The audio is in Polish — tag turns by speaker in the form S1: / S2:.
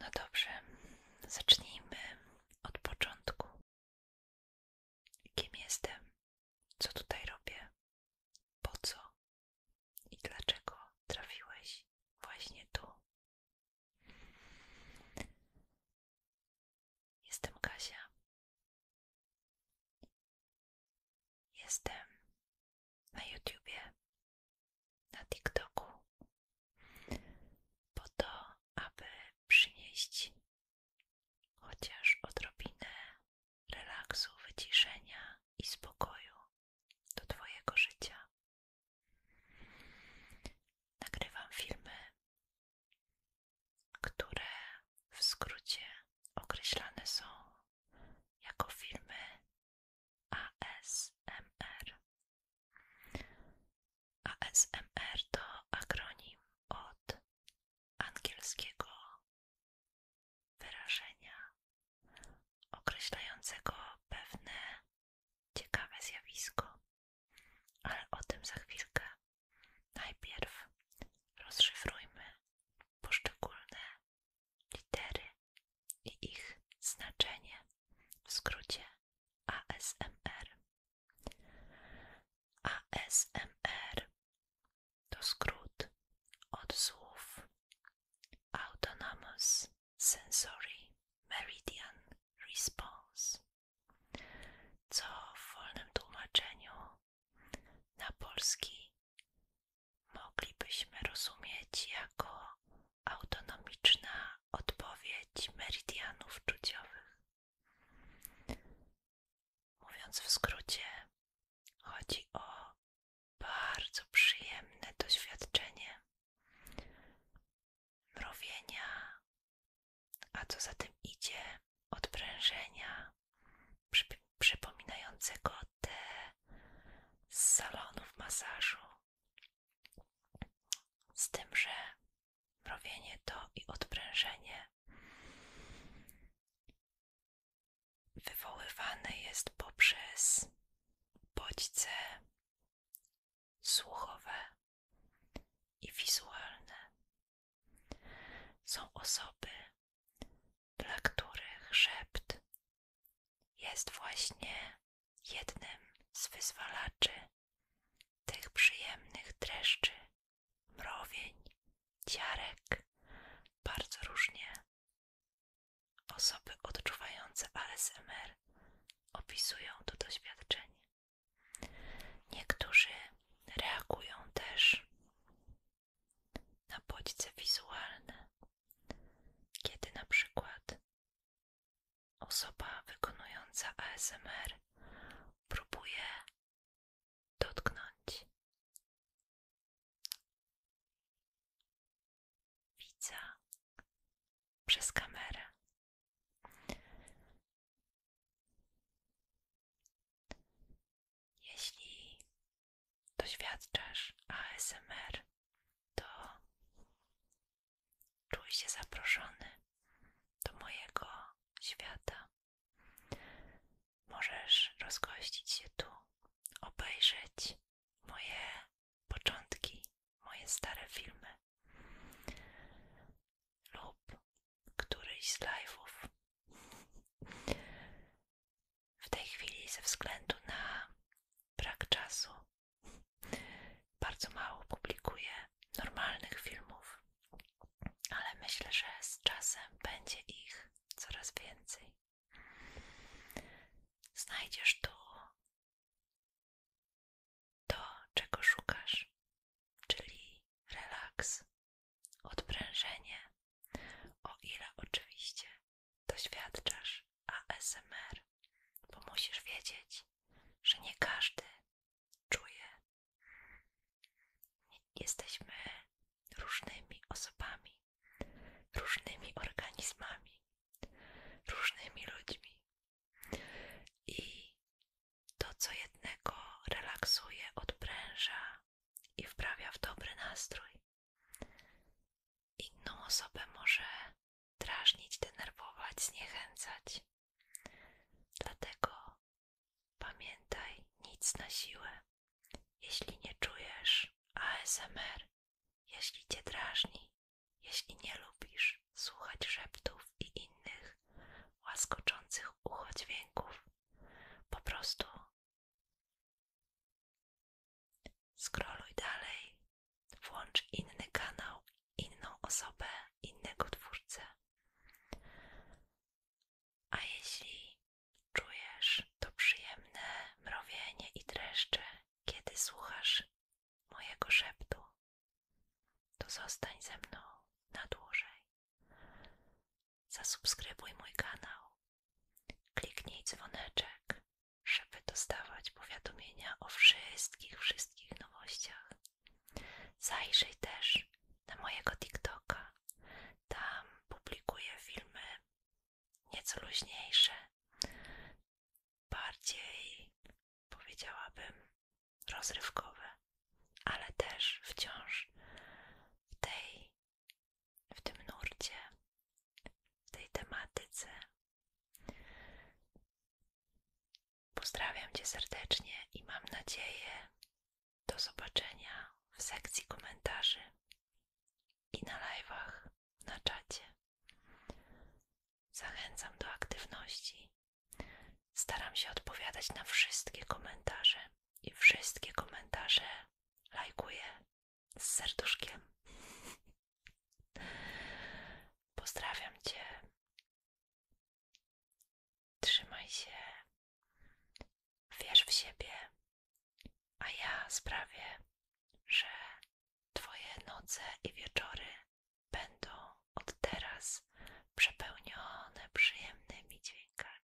S1: No dobrze, zacznijmy od początku. Kim jestem? Co tutaj robię? Po co? I dlaczego trafiłeś właśnie tu? Jestem Kasia. Jestem na YouTubie, na TikToku,
S2: po to, aby przynieść chociaż odrobinę relaksu, wyciszenia i spokoju do Twojego życia. Nagrywam filmy które w skrócie określane są jako filmy ASMR. ASMR to akronim od
S1: angielskiego wyrażenia
S2: określającego pewne Ciekawe zjawisko, ale o tym za chwilkę. Najpierw rozszyfrujmy poszczególne litery i ich znaczenie w skrócie ASMR. ASMR to skrót od słów Autonomous sensory meridian response, co w wolnym tłumaczeniu na polski moglibyśmy rozumieć jako autonomiczna odpowiedź meridianów czuciowych. Mówiąc w skrócie, chodzi o bardzo przyjemne doświadczenie mrowienia, a co za tym idzie, odprężenia przypominającego te z salonu w masażu. Z tym, że mrowienie to i odprężenie wywoływane jest poprzez bodźce słuchowe i wizualne. Są osoby, dla których szept jest właśnie jednym z wyzwalaczy tych przyjemnych dreszczy, mrowień, ciarek, bardzo różnie Osoby odczuwające ASMR opisują to doświadczenie. Niektórzy reagują też na bodźce wizualne, kiedy na przykład osoba wykonująca ASMR próbuje dotknąć
S1: widza przez kamerę. Jeśli
S2: doświadczasz ASMR, to czuj się zaproszony do mojego świata. Możesz rozgościć się tu, obejrzeć moje początki, moje stare filmy lub któryś z live'ów. W tej chwili ze względu na brak czasu bardzo mało publikuję normalnych filmów, ale myślę, że z czasem będzie ich coraz więcej. Znajdziesz tu to, czego szukasz, czyli relaks, odprężenie, o ile oczywiście doświadczasz ASMR, bo musisz wiedzieć, że nie każdy czuje Jesteśmy różnymi osobami, różnymi organizmami, różnymi ludźmi. I to, co jednego relaksuje, odpręża i wprawia w dobry nastrój, inną osobę może drażnić, denerwować, zniechęcać. Dlatego Pamiętaj, nic na siłę. Jeśli nie czujesz ASMR, jeśli cię drażni, jeśli nie lubisz słuchać szeptów i innych łaskoczących ucho dźwięków, po prostu skroluj dalej, włącz inny kanał inną osobę, innego twórcę. A jeśli czujesz to przyjemne mrowienie i dreszcze, kiedy słuchasz mojego szeptu, to zostań ze mną na dłużej. Zasubskrybuj mój kanał, kliknij dzwoneczek, żeby dostawać powiadomienia o wszystkich, wszystkich nowościach. Zajrzyj też na mojego TikToka. Tam publikuję filmy nieco luźniejsze, bardziej powiedziałabym rozrywkowe, ale też wciąż w tej, w tym nurcie, w tej tematyce. Pozdrawiam Cię serdecznie i mam nadzieję do zobaczenia w sekcji komentarzy i na live'ach, na czacie. Zachęcam do aktywności. Staram się odpowiadać na wszystkie komentarze i wszystkie komentarze lajkuję z serduszkiem. Pozdrawiam Cię. Trzymaj się. Wierz w siebie. A ja sprawię, że Twoje noce i wieczory będą od teraz przepełnione przyjemnymi
S1: dźwiękami.